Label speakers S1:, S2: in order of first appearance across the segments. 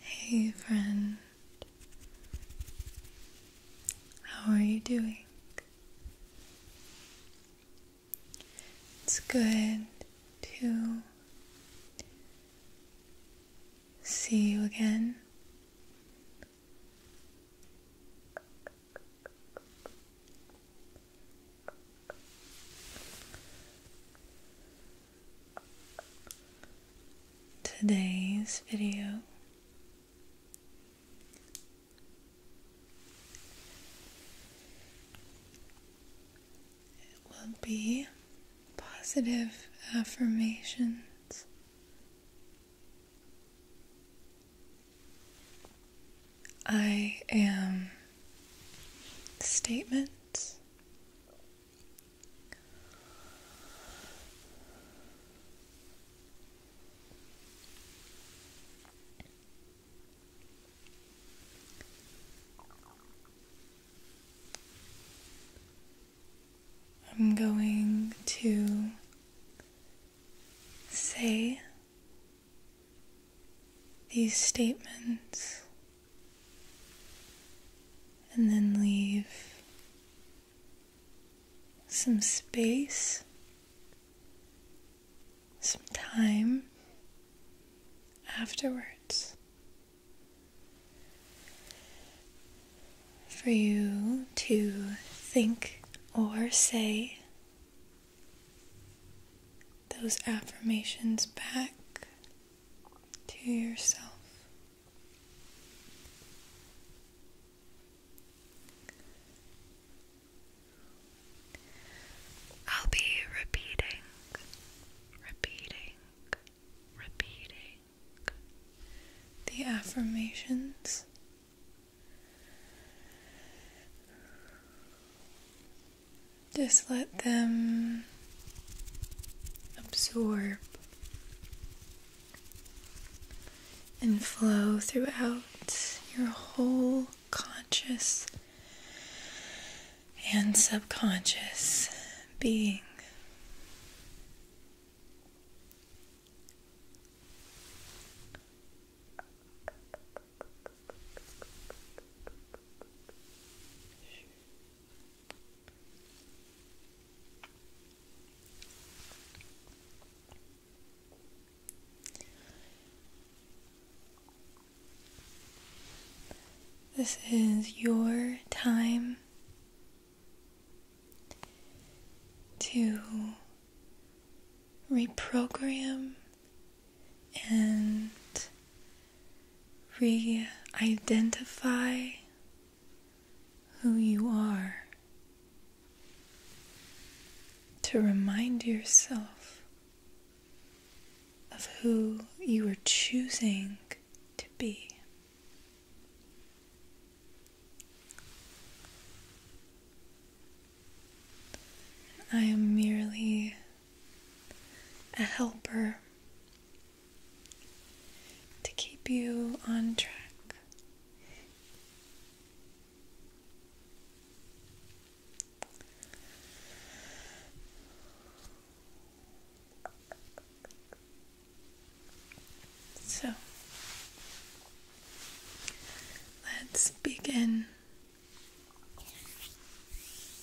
S1: Hey friend, how are you doing? It's good to see you again today's video will be positive affirmations I am statements I'm going to say these statements and then leave some space, some time afterwards for you to think or say those affirmations back to yourself. I'll be repeating, repeating, repeating the affirmations. Just let them absorb and flow throughout your whole conscious and subconscious being. This is your time to reprogram and re identify who you are, to remind yourself of who you are choosing to be. I am merely a helper to keep you on track. So let's begin.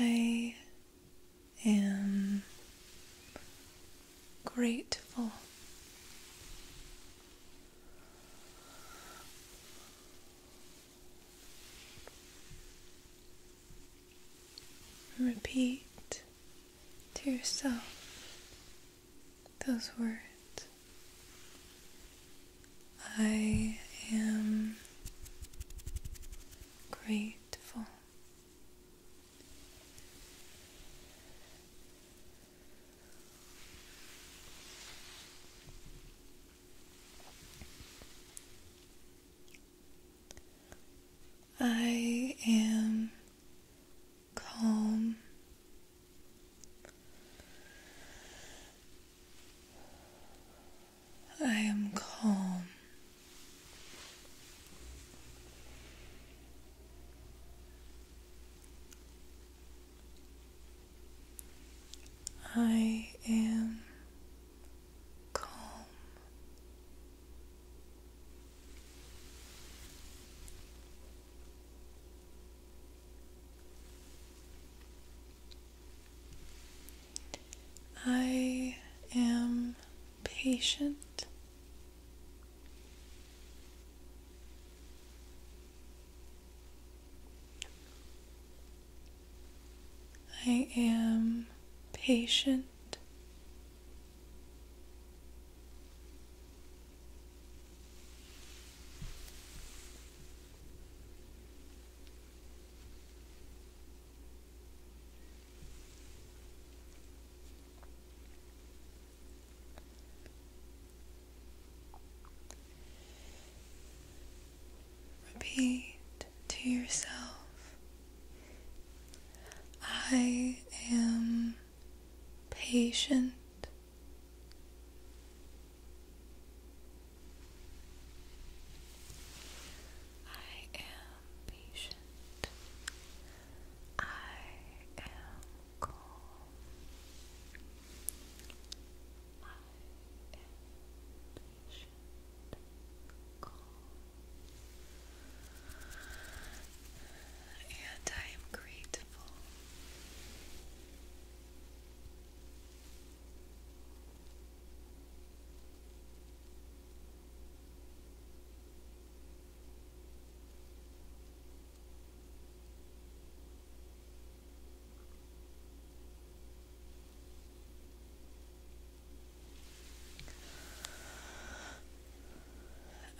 S1: I am grateful repeat to yourself those words. I am grateful. I am calm I am calm. I am calm. I am patient. I am patient. Repeat to yourself I am patient I am patient. I am calm. I am patient. Calm and I am grateful.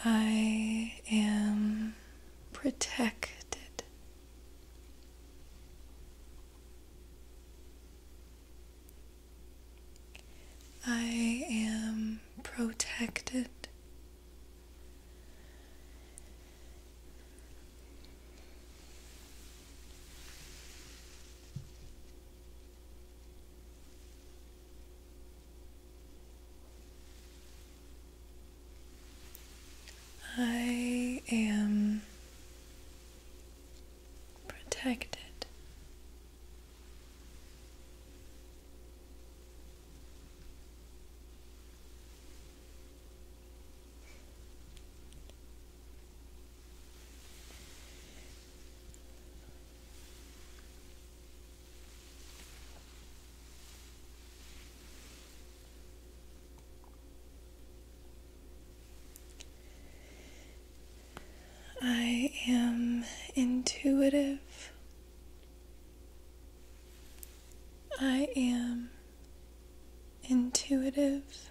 S1: I am protected I am protected. I am protected. I am intuitive. I am intuitive.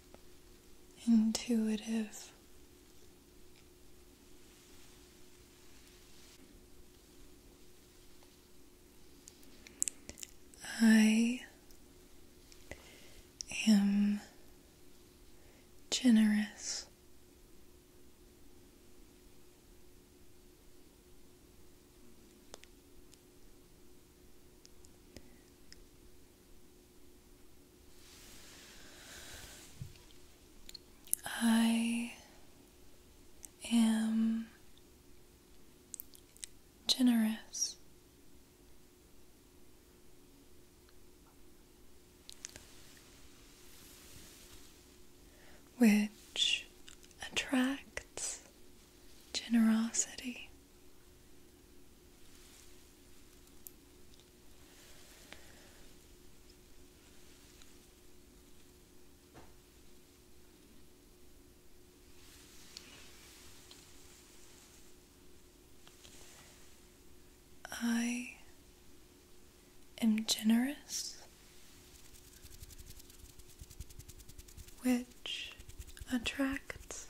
S1: intuitive. I am generous. I am generous. Which attracts generosity. I am generous, which attracts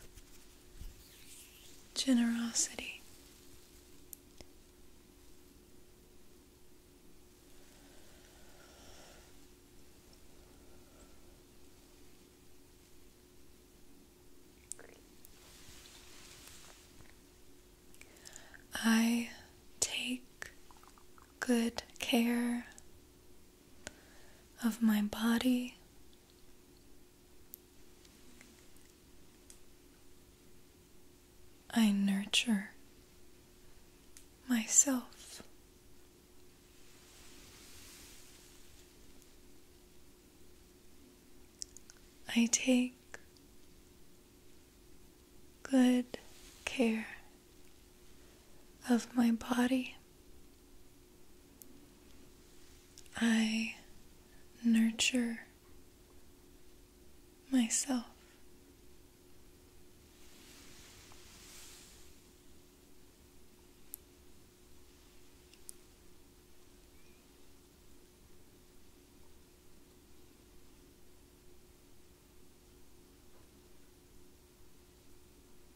S1: generosity. I take good care of my body I nurture myself. I take good care of my body. I nurture myself.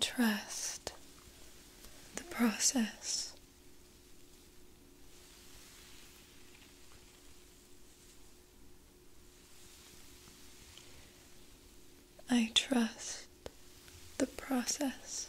S1: Trust the process. I trust the process.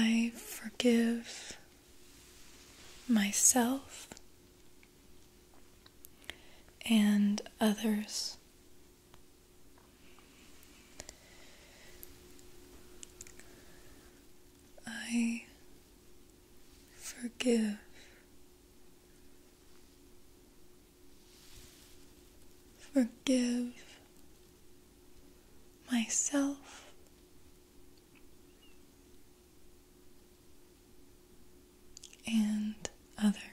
S1: I forgive myself and others. I forgive forgive myself and others.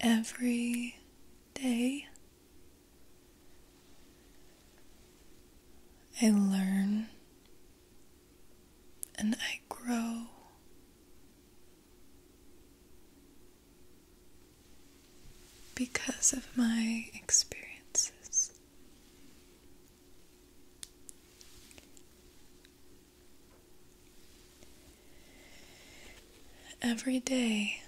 S1: Every day, I learn and I grow because of my experiences. Every day,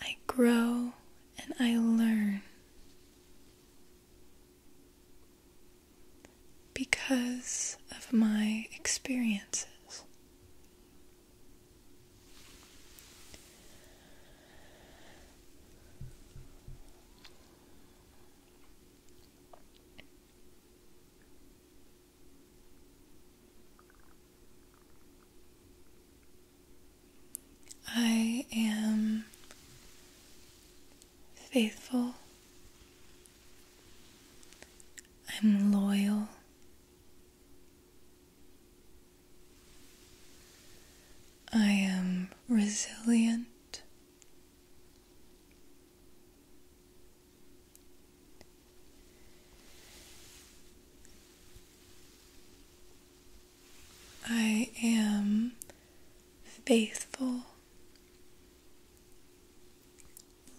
S1: I grow and I learn because of my experiences. I am faithful I'm loyal. I am resilient. I am faithful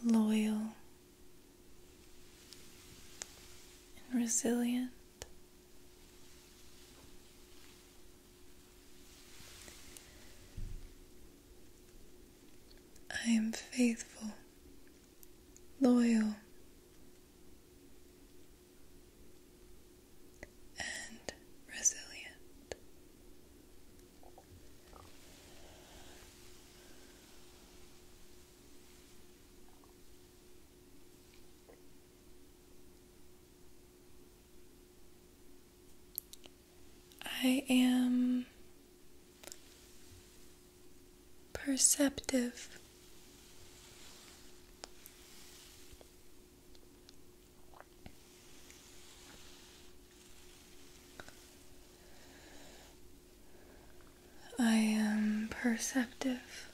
S1: loyal, and resilient. I am faithful, loyal, and resilient. I am perceptive. I am perceptive.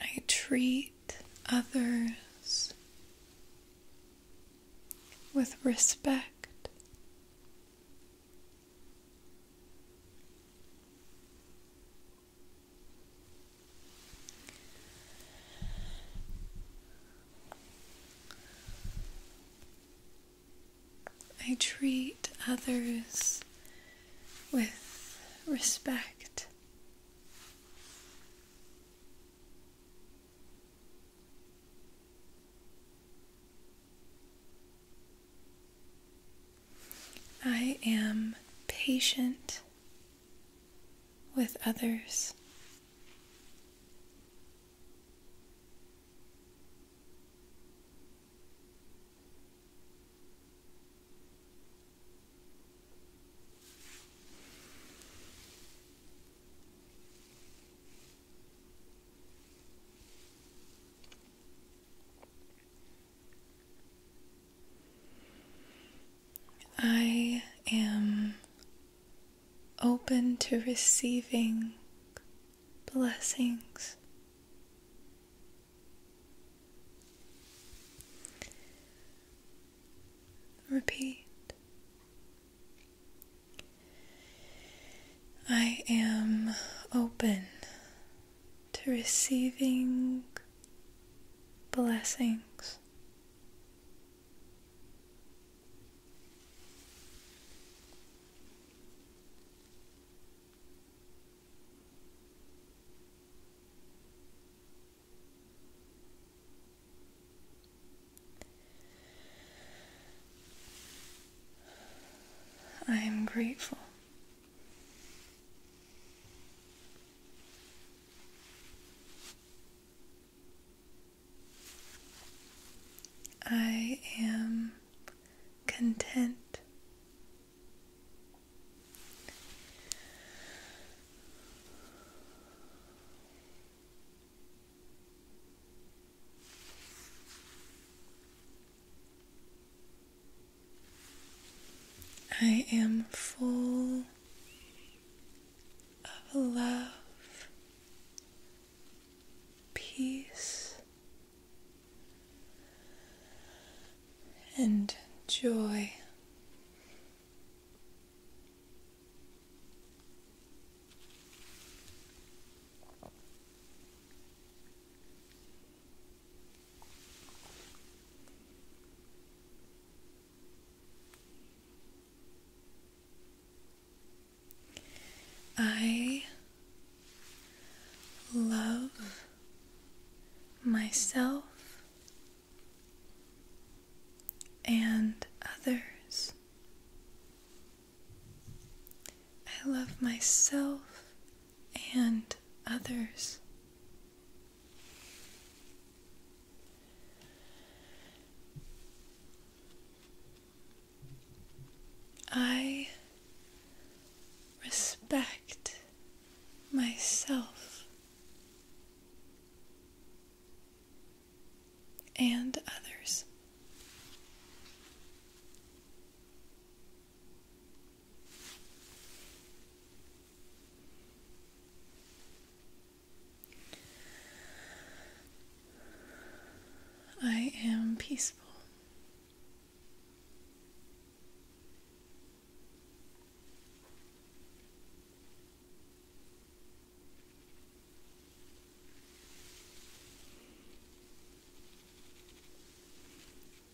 S1: I treat others with respect. I treat others with respect. I am patient with others. I am open to receiving blessings. Repeat. I am open to receiving blessings. I am grateful. I am content. I am full of love, peace, and joy. I love myself and others. I love myself and others. I respect myself and others. I am peaceful.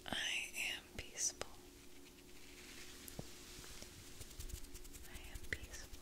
S1: I am peaceful. I am peaceful.